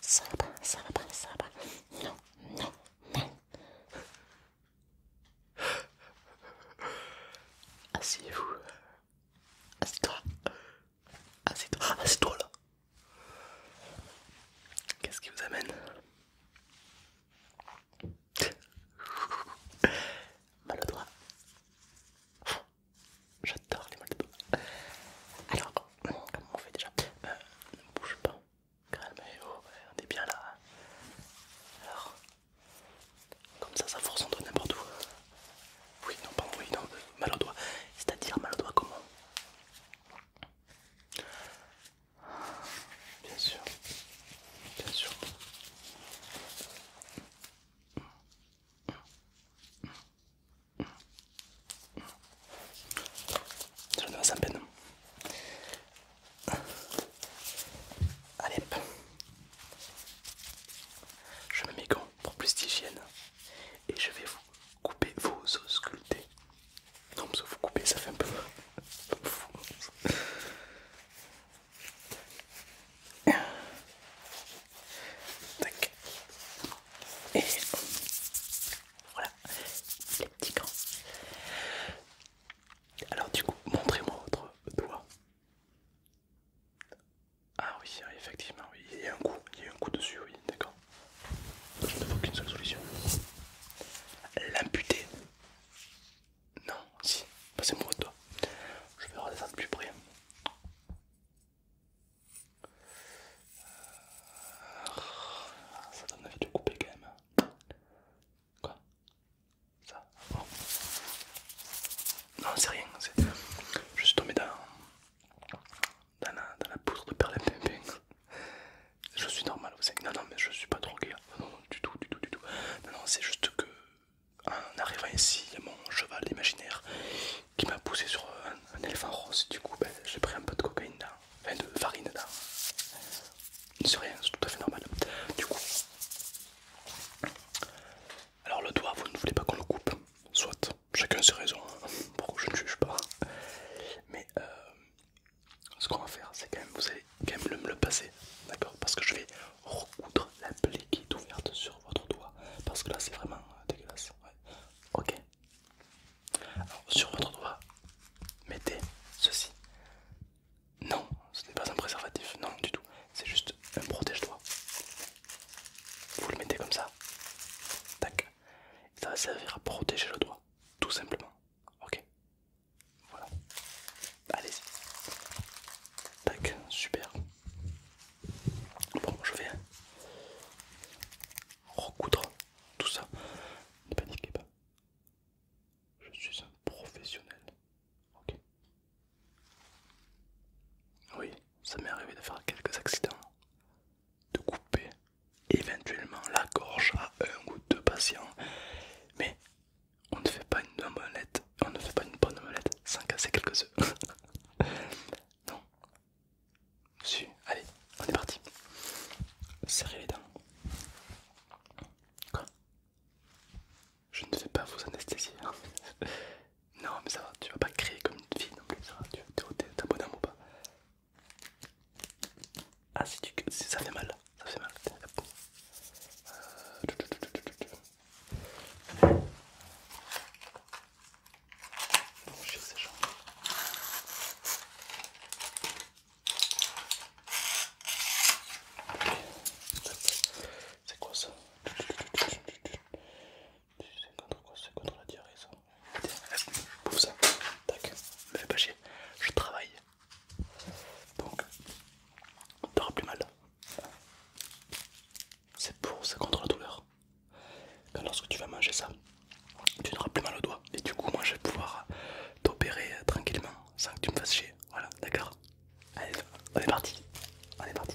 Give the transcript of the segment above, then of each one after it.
Ça va pas, ça va pas, ça ça ça non, non, non. Asseyez-vous. Assieds-toi. Assieds-toi. Assieds-toi là. Qu'est-ce qui vous amène Mal au doigt. J'adore les mal au doigt. Alors, oh, comment on fait déjà euh, Ne bouge pas. Calmez-vous, eh oh, on est bien là. Alors, comme ça, ça force doigt n'importe où. Oui, non, pas oui, non, euh, mal au doigt. C'est-à-dire mal au doigt comment Bien sûr bien sûr. Je ne vois peine. Allez, je mets mes gants pour plus d'hygiène et je vais vous couper vos os sculptés. Non, mais vous couper, ça fait un peu fou. Et voilà les petits grands Alors du coup, montrez-moi votre doigt. Ah oui, effectivement, oui. il y a un coup, il y a un coup dessus, oui, d'accord. Je ne vois qu'une seule solution. L'amputer. Non, si, passez bah, moi toi. Je vais regarder ça de plus près. Ça donne envie de couper quand même. Quoi Ça ah Non, c'est rien. Je suis tombé dans, dans, la, poudre de poudre de perlimpinpin. Je suis normal, vous savez. Non, non, mais je suis pas trop drogué. Hein. Non, du tout, du tout, du tout. Non, non, c'est juste que en arrivant ici, il y a mon cheval imaginaire qui m'a poussé sur un, éléphant rose. Du coup, ben, j'ai pris un peu de cocaïne enfin de farine là. C'est rien, c'est tout à fait normal. Du coup, alors le doigt, vous ne voulez pas qu'on le coupe, soit chacun ses raisons, hein, pourquoi je ne juge pas. Mais euh, ce qu'on va faire, c'est quand même, vous allez quand même me le, passer, d'accord Parce que je vais recoudre la plaie qui est ouverte sur votre doigt, parce que là c'est vraiment euh, dégueulasse. Ok. Alors sur votre doigt, mettez ceci. Non, ce n'est pas un préservatif, non du tout. C'est juste un protège-doigt. Vous le mettez comme ça. Tac. Ça va servir à protéger le doigt, tout simplement. Ok. Voilà. Bah, allez-y. Tac, super. Bon, je vais recoudre tout ça. Ne paniquez pas. Je suis un professionnel. Ok. Oui, ça m'est arrivé de faire quelques accidents, de couper éventuellement la gorge à un ou deux patients, mais on ne fait pas une molette. on ne fait pas une bonne omelette sans casser quelques œufs. non. Su. allez, on est parti. Serrez les dents. Quoi Je ne vais pas vous anesthésier. Hein. non, mais ça va, tu vas pas crier comme une fille non plus, ça tu t'es au bon ou pas ah, si tu... ça fait mal, ça fait mal. C'est quoi ça C'est contre quoi C'est contre la diarrhée ça ça, tac, me pas chier, je travaille. Donc, t'auras plus mal. C'est pour, ça contre la douleur. quand lorsque tu vas manger ça, tu n'auras plus mal au doigt. Et du coup, moi je vais pouvoir t'opérer tranquillement sans que tu me fasses chier. Voilà, d'accord Allez, on est parti. On est parti.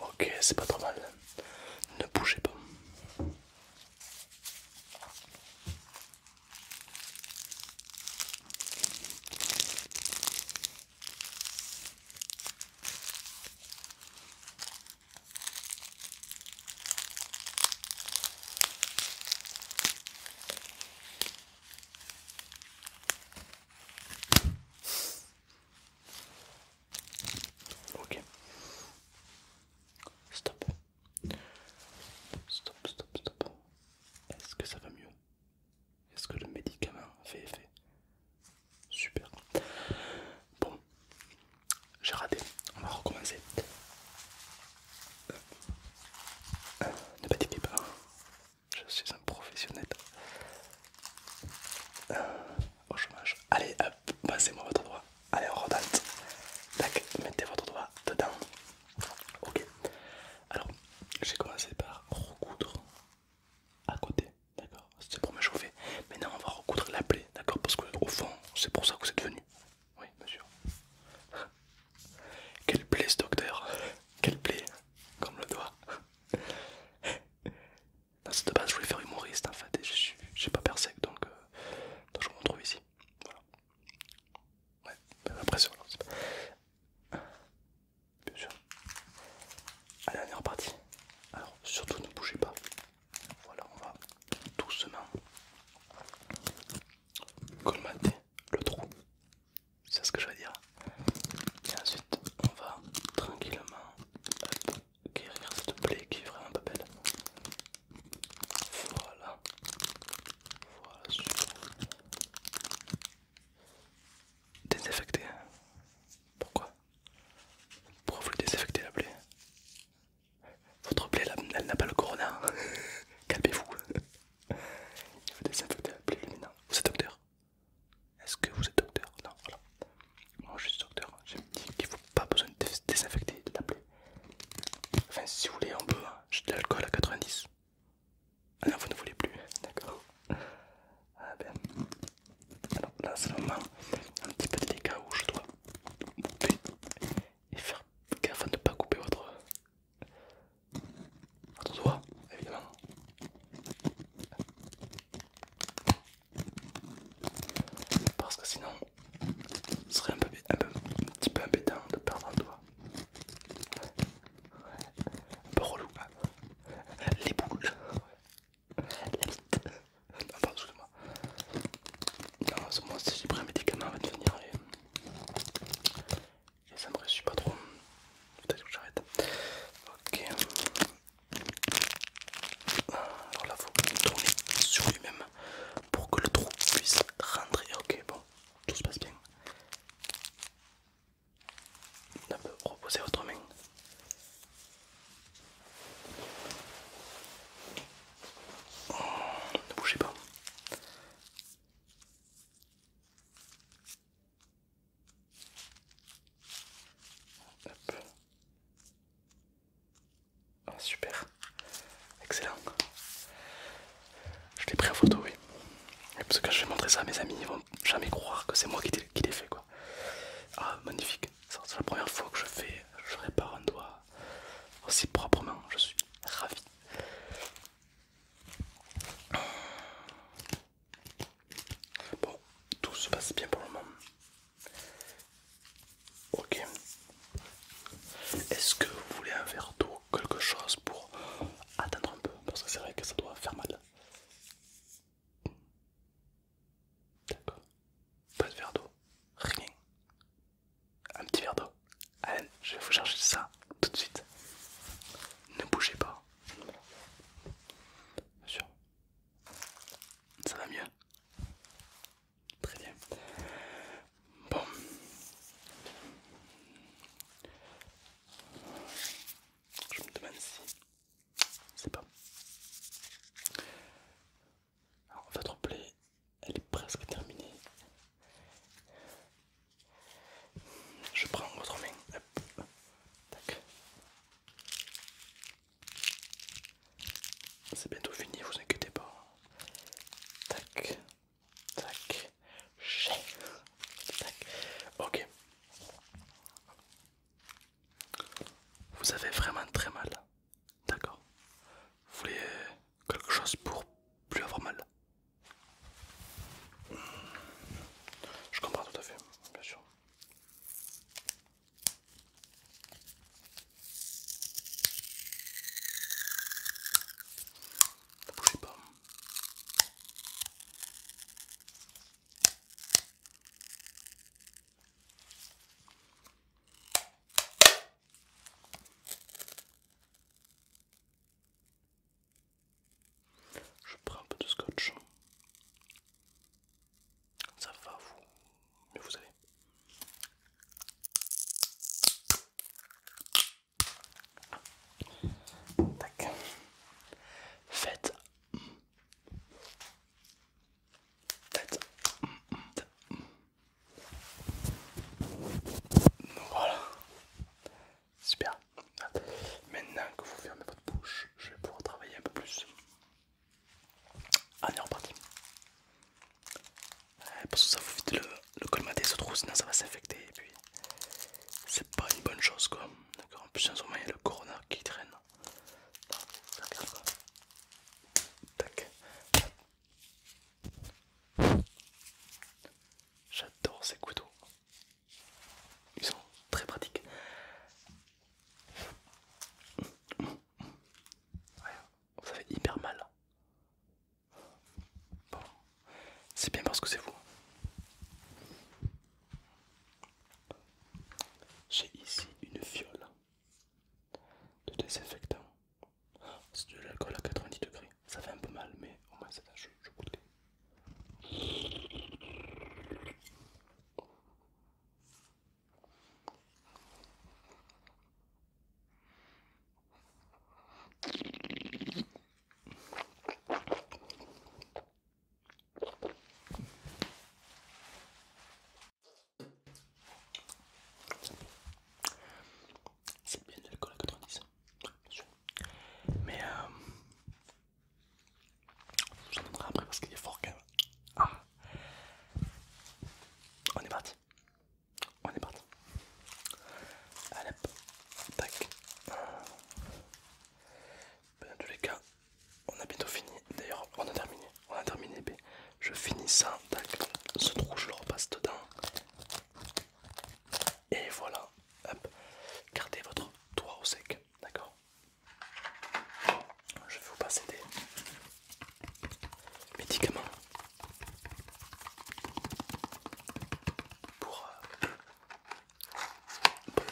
Ok, c'est pas trop mal. Ne bougez pas. Ok. Stop. Stop, stop, stop. Est-ce que ça va mieux Est-ce que le médicament fait effet Super. Bon j'ai raté, on va recommencer. ne paniquez pas, je suis un professionnel euh, au chômage. Allez, passez-moi votre doigt. Allez, on Tac, mettez votre doigt dedans. Ok, alors j'ai commencé par recoudre à côté, d'accord C'était pour me chauffer. Maintenant, on va recoudre la plaie, d'accord Parce que au fond, c'est pour ça que êtes venu. Oui, bien sûr Quelle plaie ce docteur Quelle plaie Comme le doigt. Non, de base, je voulais faire humoriste en fait, et je j'ai pas persec, euh, donc, je me retrouve ici. Voilà. Ouais, impression. Ben, c'est pas... Bien sûr. Allez, on est reparti. Alors, surtout ne bougez pas. Voilà, on va doucement colmater le trou. C'est ce que je veux dire. Et ensuite, on va tranquillement euh, guérir cette blé qui est vraiment pas belle. Voilà. Voilà, super. Désinfecter. Hein. Pourquoi Pourquoi vous désinfecter la plaie votre plaie, elle n'a pas le corona. Calmez-vous. Il faut désinfecter la plaie maintenant. Vous êtes docteur Est-ce que vous êtes docteur Non, voilà. Moi je suis docteur. Je me dis qu'il ne faut pas besoin de désinfecter la plaie. Enfin, si vous voulez, on peut. Hein. J'ai de l'alcool à 90. Ah non, vous ne voulez plus. D'accord. Ah ben. Alors là, c'est moment un petit peu délicat où je dois et faire gaffe à ne pas couper votre, doigt, évidemment. Parce que sinon, ce serait un, peu, un, petit peu embêtant de perdre un doigt. Un peu relou. Ah. Les boules. Non, pardon, moi Non, moi, j'ai pris un médicament va te venir et, ça me réussit pas trop. Peut-être que j'arrête. Ok. Alors là, faut tourner sur lui-même pour que le trou puisse rentrer. Ok, bon, tout se passe bien. On peut reposer votre main ne bougez pas. Ah, super, excellent. Je l'ai pris en photo, oui. Parce que quand je vais montrer ça à mes amis, ils vont jamais croire que c'est moi qui l'ai fait, quoi. Ah, magnifique. C'est la première fois que je fais, je répare un doigt aussi proprement, je suis ravi. Bon, tout se passe bien pour le moment. Ok. Est-ce que vous voulez un verre d'eau, quelque chose pour attendre un peu Parce que c'est vrai que ça doit faire mal. D'accord. Pas de verre d'eau. Rien. Un petit verre d'eau. Allez, je vais vous chercher ça tout de suite. Ne bougez pas. Bien sûr. Ça va mieux. Très bien. Bon. Je me demande si... C'est pas. Alors, votre plaie, elle est presque terminée. Je prends votre main. Tac. C'est bientôt fini, vous inquiétez pas. Tac. Tac. Tac. Ok. Vous avez vraiment très mal. D'accord. Vous voulez euh, quelque chose pour plus avoir mal Je comprends tout à fait, bien sûr. Ne bougez pas. Je prends un peu de scotch. Ça va vous, mais vous savez. Tac. Faites tête. voilà, super. Maintenant que vous fermez votre bouche, je vais pouvoir travailler un peu plus. Allez, on est reparti. Euh, parce que ça vous vite le, le colmater ce trou, sinon ça va s'infecter et puis c'est pas une bonne chose quoi. D'accord, en plus, en ce moment il y a le corona qui traîne. J'adore ces couteaux. Ils sont très pratiques. ça fait hyper mal. c'est bien parce que c'est vous. J'ai ici une fiole de désinfectant. C'est de l'alcool à 90 degrés. Ça fait un peu mal, mais au moins ça que Je goûte. C'est bien de l'alcool à 90, bien sûr. Mais euh, vous en donnerai après parce qu'il est fort quand même. Ah. On est parti. On est parti. Allez, tac. Dans tous les cas, on a bientôt fini. D'ailleurs, on a terminé. On a terminé. je finis ça. Ce trou, je le repasse dedans. Et voilà. Hop. Gardez votre toit au sec. D'accord Je vais vous passer des médicaments pour, euh,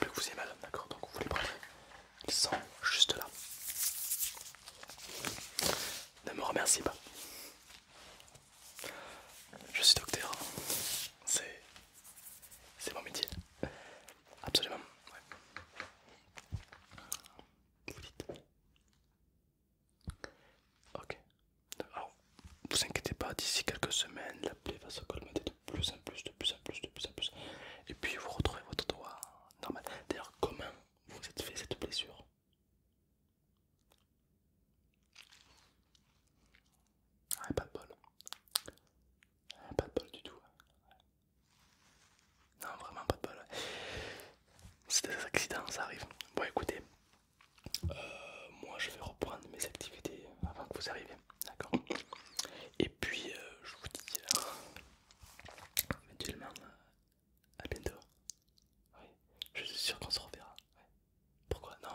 que vous ayez mal. D'accord Donc vous les prenez. Ils sont juste là. Ne me remercie pas. Je suis docteur. C'est. C'est mon métier. Absolument. Vous dites. Ok. vous inquiétez pas, d'ici quelques semaines, la plaie va se colmer plus en plus, de plus en plus, de plus en plus. Et puis vous retrouvez votre doigt normal. D'ailleurs, comment vous êtes fait cette blessure ah, Pas de bol. Ah, pas de bol du tout. Non, vraiment pas de bol. C'est des accidents, ça arrive. Bon, écoutez, euh, moi je vais reprendre mes activités avant que vous arriviez. D'accord Et puis euh, je vous dis éventuellement euh, euh, à bientôt. Oui. Je suis sûr qu'on se reverra. Pourquoi Non,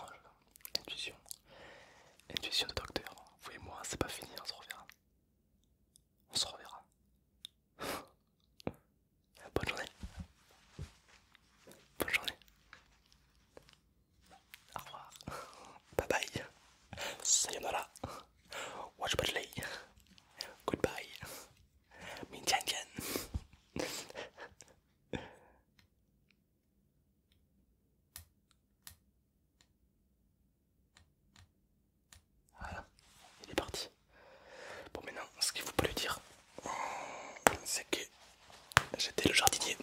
je... intuition. Intuition de docteur. Vous et moi, c'est pas fini, on se reverra. On se reverra. Bonne journée. Bonne journée. Au revoir. Bye bye. Sayonara. Watch badly. Goodbye. Min Voilà, il est parti. Bon maintenant, ce qu'il faut pas lui dire, c'est que j'étais le jardinier.